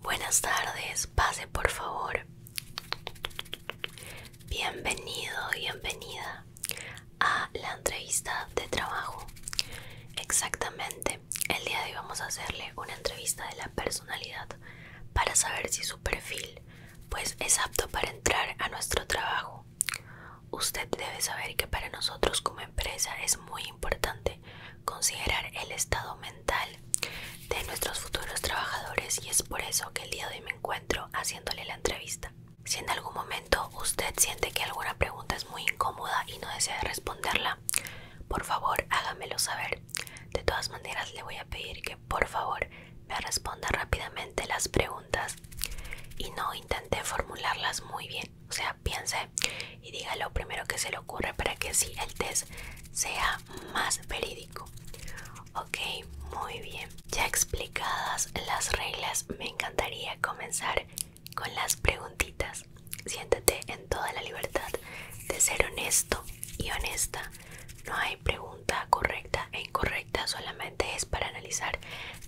Buenas tardes, pase por favor. Bienvenido, bienvenida a la entrevista de trabajo. Exactamente, el día de hoy vamos a hacerle una entrevista de la personalidad para saber si su perfil pues es apto para entrar a nuestro trabajo. Usted debe saber que para nosotros como empresa es muy importante considerar el estado mental de nuestros futuros trabajadores y es por eso que el día de hoy me encuentro haciéndole la entrevista. Si en algún momento usted siente que alguna pregunta es muy incómoda y no desea responderla, por favor hágamelo saber. De todas maneras le voy a pedir que por favor me responda rápidamente las preguntas y no intente formularlas muy bien. O sea, piense y dígalo primero que se lo ocurre para que si el test sea más verídico. Ok, muy bien. Ya explicadas las reglas, me encantaría comenzar con las preguntitas. Siéntate en toda la libertad de ser honesto y honesta. No hay pregunta correcta e incorrecta, solamente es para analizar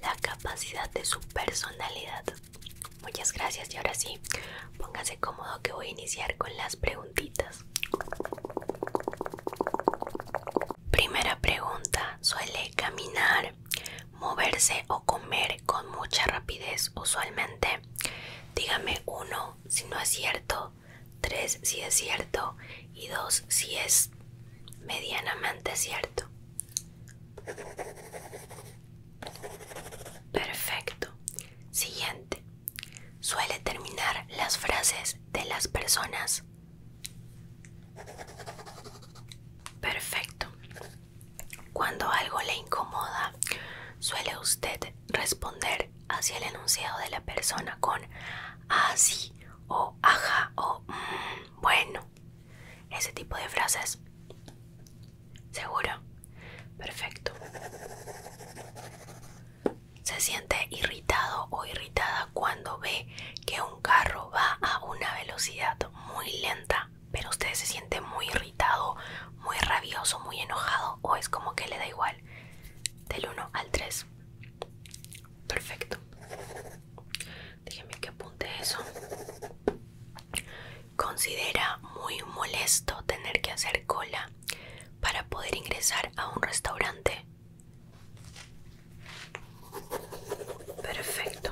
la capacidad de su personalidad. Muchas gracias y ahora sí, póngase cómodo que voy a iniciar con las preguntitas. Primera pregunta, ¿suele caminar, moverse o comer con mucha rapidez usualmente? Dígame uno si no es cierto, tres si es cierto y dos si es medianamente cierto. Perfecto. Siguiente. Suele terminar las frases de las personas. Perfecto. Cuando algo le incomoda, suele usted responder hacia el enunciado de la persona con así ah, o ajá o mm, bueno. Ese tipo de frases. ¿Seguro? Perfecto se siente irritado o irritada cuando ve que un carro va a una velocidad muy lenta, pero usted se siente muy irritado, muy rabioso, muy enojado o es como que le da igual. Del 1 al 3. Perfecto. Déjeme que apunte eso. Considera muy molesto tener que hacer cola para poder ingresar a un restaurante. Perfecto.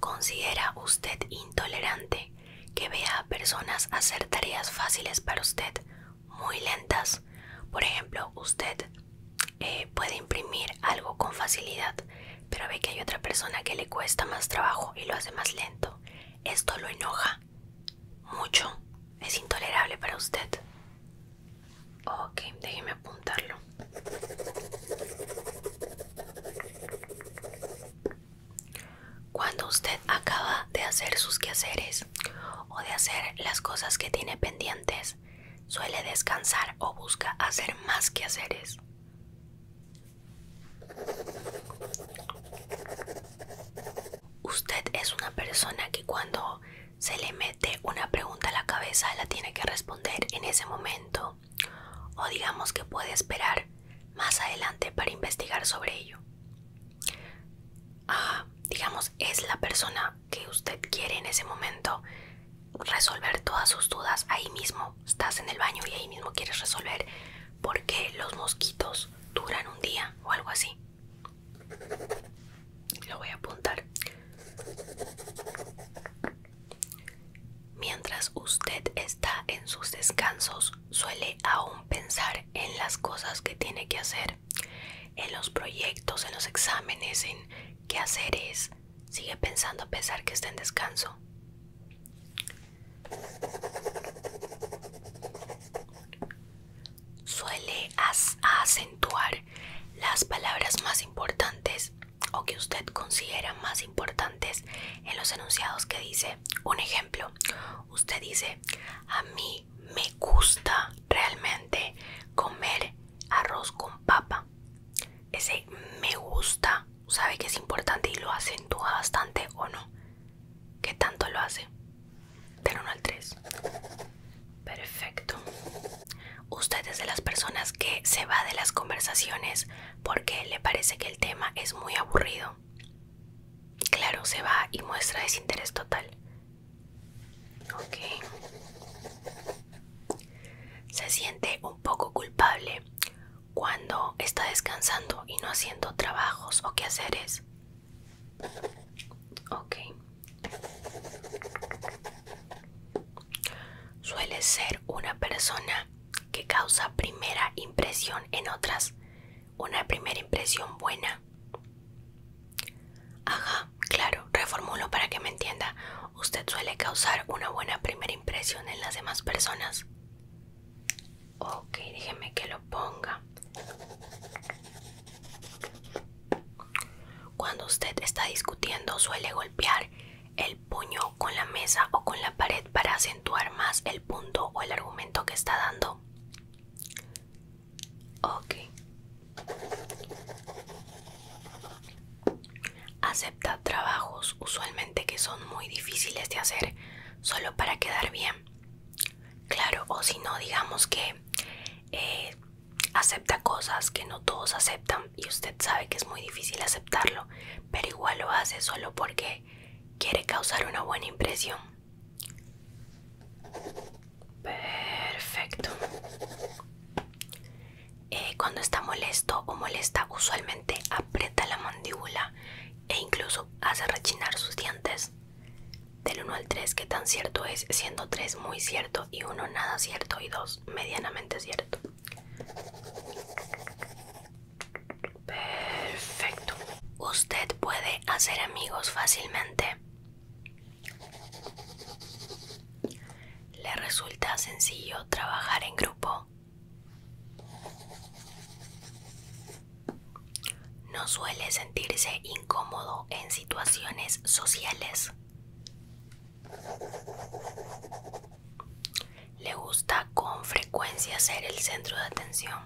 ¿Considera usted intolerante que vea a personas hacer tareas fáciles para usted, muy lentas? Por ejemplo, usted eh, puede imprimir algo con facilidad, pero ve que hay otra persona que le cuesta más trabajo y lo hace más lento. Esto lo enoja mucho. Es intolerable para usted. Ok, déjeme apuntarlo. Cuando usted acaba de hacer sus quehaceres o de hacer las cosas que tiene pendientes, suele descansar o busca hacer más quehaceres. Usted es una persona que cuando se le mete una pregunta a la cabeza la tiene que responder en ese momento o digamos que puede esperar más adelante para investigar sobre ello. Ah, digamos, es la persona que usted quiere en ese momento resolver todas sus dudas ahí mismo. Estás en el baño y ahí mismo quieres resolver porque los mosquitos duran un día o algo así. Lo voy a apuntar. Mientras usted está en sus descansos, suele aún pensar en las cosas que tiene que hacer, en los proyectos, en los exámenes, en qué hacer es. Sigue pensando a pesar que está en descanso. Suele acentuar las palabras más importantes o que usted considera más importantes en los enunciados que dice. Un ejemplo, usted dice, a mí me gusta realmente comer arroz con papa. Ese me gusta, sabe que es importante y lo acentúa bastante o no. ¿Qué tanto lo hace? pero no al 3. Perfecto. Usted es de las personas que se va de las conversaciones porque le parece que el tema es muy aburrido. Claro, se va y muestra desinterés total. Ok. Se siente un poco culpable cuando está descansando y no haciendo trabajos o quehaceres. Ok. Suele ser una persona que causa primera impresión en otras. Una primera impresión buena. Ajá, claro, reformulo para que me entienda. Usted suele causar una buena primera impresión en las demás personas. Ok, déjeme que lo ponga. Cuando usted está discutiendo suele golpear el puño con la mesa o con la pared para acentuar más el punto o el argumento que está dando. Ok. Acepta trabajos usualmente que son muy difíciles de hacer solo para quedar bien. Claro, o si no, digamos que eh, acepta cosas que no todos aceptan y usted sabe que es muy difícil aceptarlo, pero igual lo hace solo porque quiere causar una buena impresión. Perfecto. Eh, cuando está molesto o molesta, usualmente aprieta la mandíbula e incluso hace rechinar sus dientes. Del 1 al 3, que tan cierto es, siendo 3 muy cierto y 1 nada cierto y 2 medianamente cierto. Perfecto. Usted puede hacer amigos fácilmente. Le resulta sencillo trabajar en grupo. No suele sentirse incómodo en situaciones sociales. Le gusta con frecuencia ser el centro de atención.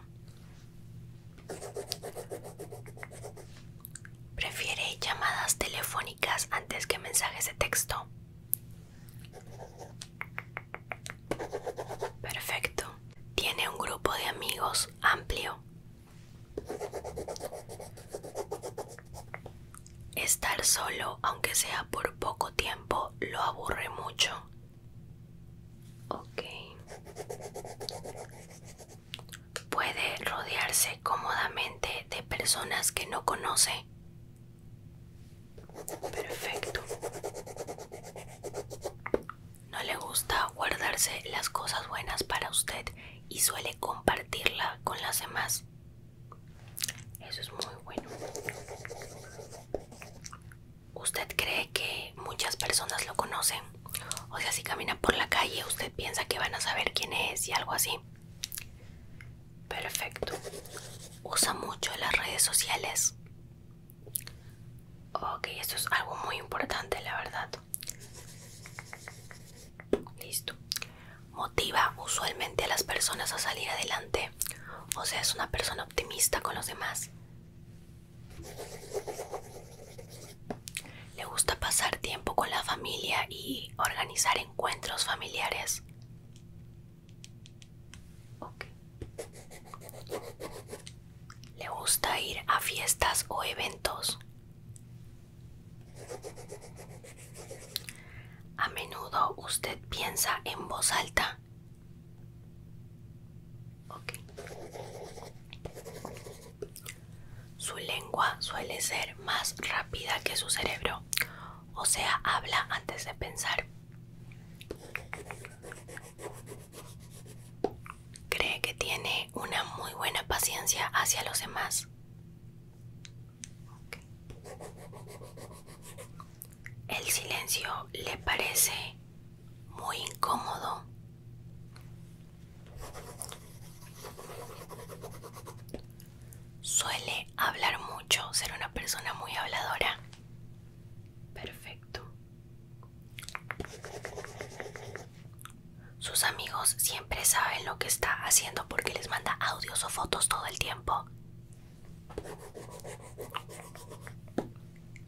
Prefiere llamadas telefónicas antes que mensajes de texto. Perfecto. Tiene un grupo de amigos amplio. Estar solo, aunque sea por poco tiempo, lo aburre mucho. Ok. Puede rodearse cómodamente de personas que no conoce. Perfecto. No le gusta guardarse las cosas buenas para usted y suele compartirla con las demás. Eso es muy bueno. ¿Usted cree que muchas personas lo conocen? O sea, si camina por la calle, usted piensa que van a saber quién es y algo así. Perfecto. Usa mucho las redes sociales. Ok, esto es algo muy importante, la verdad. Listo. Motiva usualmente a las personas a salir adelante. O sea, es una persona optimista con los demás. Le gusta pasar tiempo con la familia y organizar encuentros familiares. Ok ¿Le gusta ir a fiestas o eventos? A menudo usted piensa en voz alta. Su lengua suele ser más rápida que su cerebro, o sea, habla antes de pensar. Cree que tiene una muy buena paciencia hacia los demás. El silencio le parece muy incómodo. Suele hablar mucho, ser una persona muy habladora. Perfecto. Sus amigos siempre saben lo que está haciendo porque les manda audios o fotos todo el tiempo.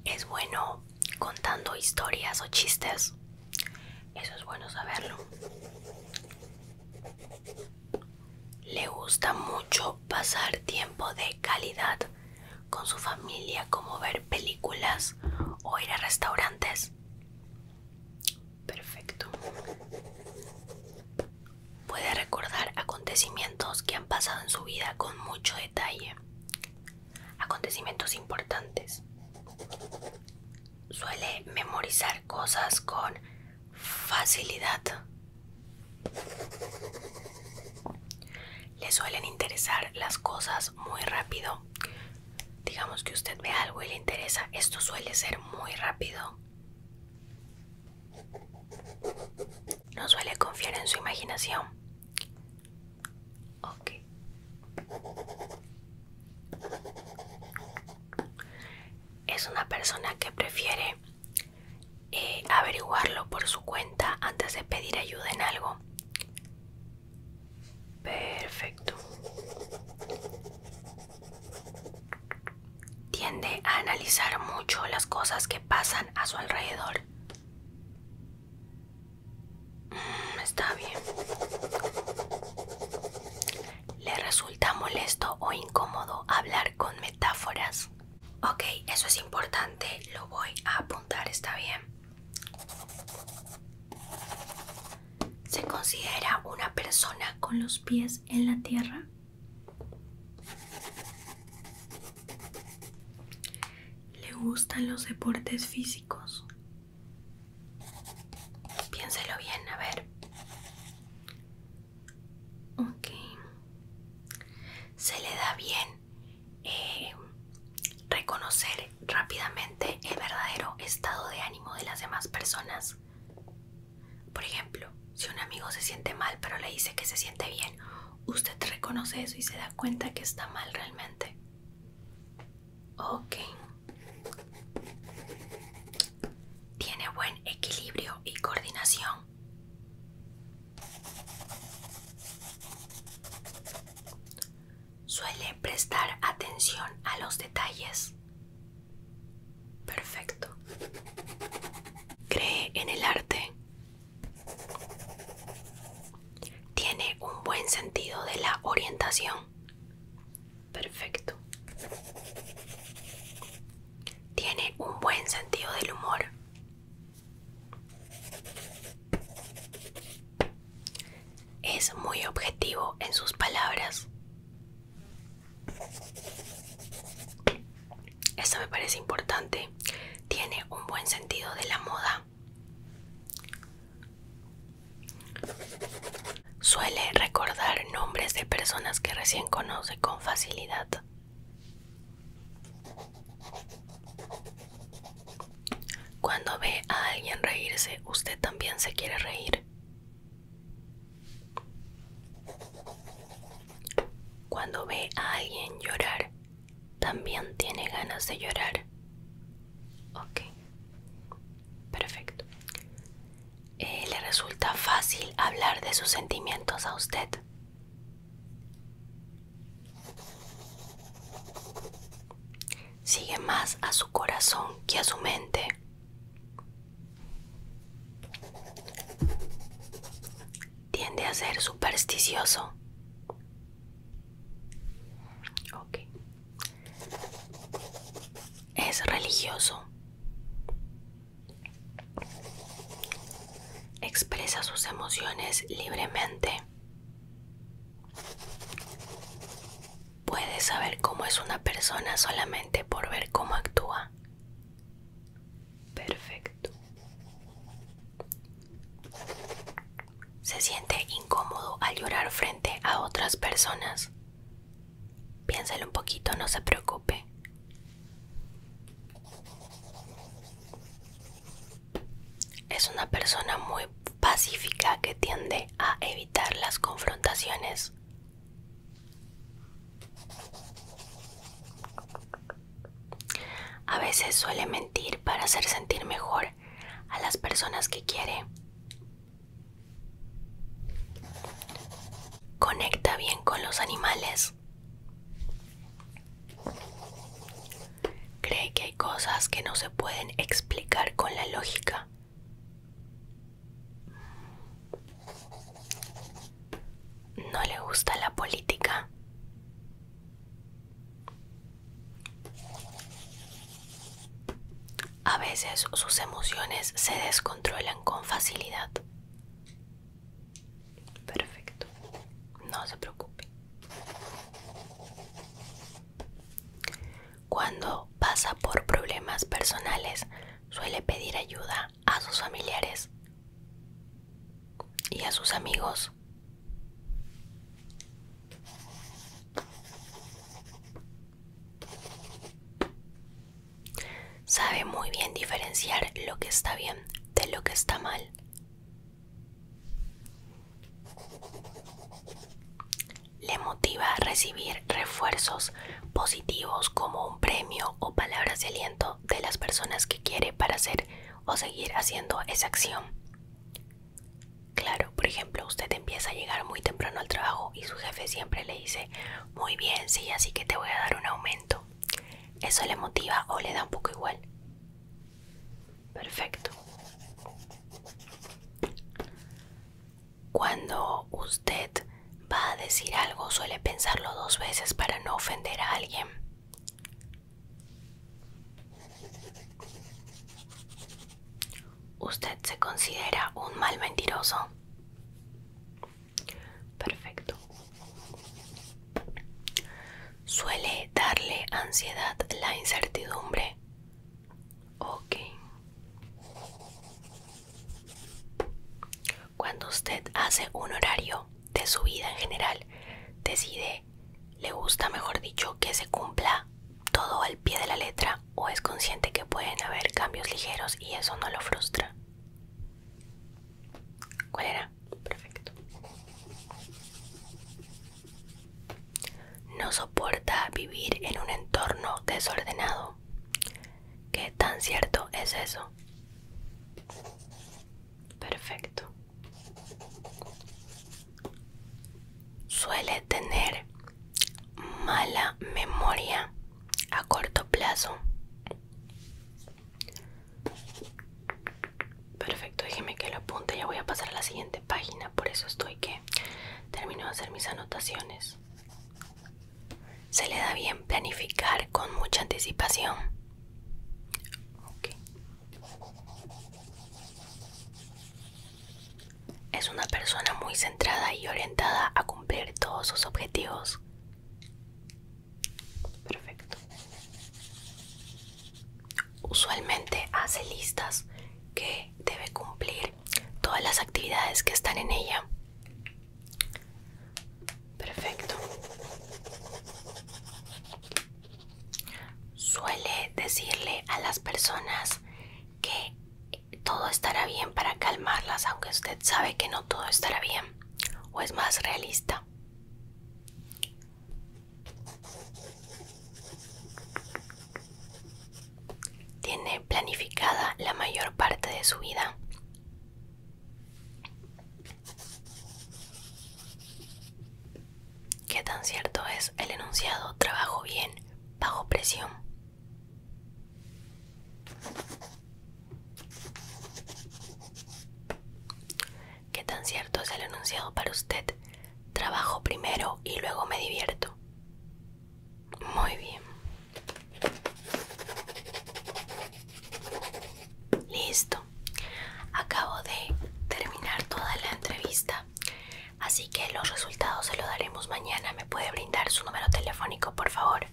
Es bueno contando historias o chistes. Eso es bueno saberlo. Le gusta mucho pasar tiempo de calidad con su familia como ver películas o ir a restaurantes? Perfecto. Puede recordar acontecimientos que han pasado en su vida con mucho detalle. Acontecimientos importantes. Suele memorizar cosas con facilidad le suelen interesar las cosas muy rápido. Digamos que usted ve algo y le interesa, esto suele ser muy rápido. No suele confiar en su imaginación. Ok. Es una persona que prefiere eh, averiguarlo por su cuenta antes de pedir ayuda en algo. Perfecto. Tiende a analizar mucho las cosas que pasan a su alrededor. Mm, está bien. Le resulta molesto o incómodo hablar con metáforas. Ok, eso es importante. Lo voy a apuntar, está bien. ¿Se considera una persona con los pies en la tierra? ¿Le gustan los deportes físicos? Piénselo bien, a ver. Ok. ¿Se le da bien eh, reconocer rápidamente el verdadero estado de ánimo de las demás personas. Por ejemplo, si un amigo se siente mal pero le dice que se siente bien, usted reconoce eso y se da cuenta que está mal realmente. Ok. Tiene buen equilibrio y coordinación. Suele prestar atención a los detalles. Perfecto. Cree en el arte. Tiene un buen sentido de la orientación. Perfecto. Tiene un buen sentido del humor. Es muy objetivo en sus palabras. Esto me parece importante. Tiene un buen sentido de la moda. Suele recordar nombres de personas que recién conoce con facilidad. Cuando ve a alguien reírse, usted también se quiere reír. Cuando ve a alguien llorar, también tiene ganas de llorar. Ok, perfecto. Eh, ¿Le resulta fácil hablar de sus sentimientos a usted? Sigue más a su corazón que a su mente. Tiende a ser supersticioso. Es religioso. Expresa sus emociones libremente. Puedes saber cómo es una persona solamente por ver cómo actúa. Perfecto. Se siente incómodo al llorar frente a otras personas. Piénselo un poquito, no se preocupe. Es una persona muy pacífica que tiende a evitar las confrontaciones. A veces suele mentir para hacer sentir mejor a las personas que quiere. Conecta bien con los animales. Cree que hay cosas que no se pueden explicar con la lógica. No le gusta la política. A veces sus emociones se descontrolan con facilidad. Perfecto. No se preocupe. Cuando pasa por problemas personales, suele pedir ayuda a sus familiares y a sus amigos. Sabe muy bien diferenciar lo que está bien de lo que está mal. Le motiva a recibir refuerzos positivos como un premio o palabras de aliento de las personas que quiere para hacer o seguir haciendo esa acción. Claro, por ejemplo, usted empieza a llegar muy temprano al trabajo y su jefe siempre le dice, muy bien, sí, así que te voy a dar un aumento. Eso le motiva o le da un poco igual. Perfecto. Cuando usted va a decir algo, suele pensarlo dos veces para no ofender a alguien. ¿Usted se considera un mal mentiroso? Perfecto. ¿Suele darle ansiedad la incertidumbre? Ok. Cuando usted hace un horario de su vida en general, decide, le gusta, mejor dicho, que se cumpla todo al pie de la letra o es consciente que pueden haber cambios ligeros y eso no lo frustra. ¿Cuál era? Perfecto. No soporta vivir en un entorno desordenado. ¿Qué tan cierto es eso? Perfecto. Suele tener mala memoria a corto plazo. Perfecto, déjeme que lo apunte, ya voy a pasar a la siguiente página, por eso estoy que termino de hacer mis anotaciones. Se le da bien planificar con mucha anticipación. Es una persona muy centrada y orientada a cumplir todos sus objetivos. Perfecto. Usualmente hace listas que debe cumplir todas las actividades que están en ella. Perfecto. Suele decirle a las personas que todo estará bien para calmarlas, aunque usted sabe que no todo estará bien o es más realista tiene planificada la mayor parte de su vida. ¿Qué tan cierto es el enunciado trabajo bien bajo presión? ¿Qué tan cierto es el enunciado para usted Trabajo primero y luego me divierto. Muy bien. Listo. Acabo de terminar toda la entrevista. Así que los resultados se los daremos mañana. ¿Me puede brindar su número telefónico, por favor?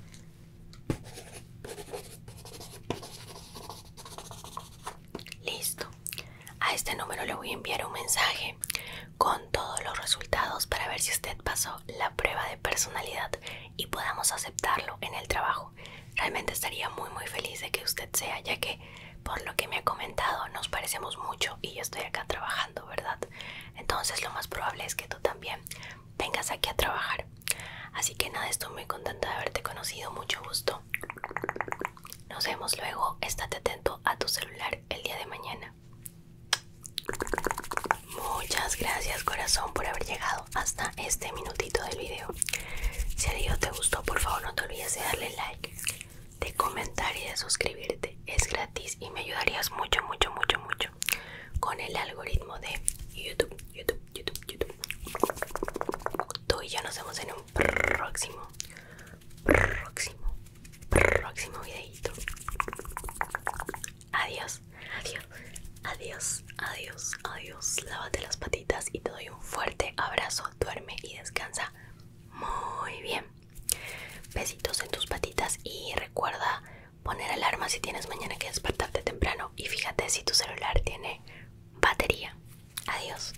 Listo. A este número le voy a enviar un mensaje con todos los resultados para ver si usted pasó la prueba de personalidad y podamos aceptarlo en el trabajo. Realmente estaría muy muy feliz de que usted sea, ya que por lo que me ha comentado nos parecemos mucho y yo estoy acá trabajando, ¿verdad? Entonces lo más probable es que tú también vengas aquí a trabajar. Así que nada, estoy muy contenta de haberte conocido, mucho gusto. Nos vemos luego, estate atento a tu celular el día de mañana. Muchas gracias corazón por haber llegado hasta este minutito del video. Si el video te gustó, por favor no te olvides de darle like, de comentar y de suscribirte. Es gratis y me ayudarías mucho, mucho, mucho, mucho con el algoritmo de YouTube, YouTube, YouTube, YouTube. Tú y ya nos vemos en un próximo, próximo próximo videito. Adiós, adiós, adiós, adiós, adiós. Lávate las patitas y te doy un fuerte abrazo. Duerme y descansa muy bien. Besitos en tus patitas y recuerda poner alarma si tienes mañana que despertarte temprano. Y fíjate si tu celular tiene batería. Adiós.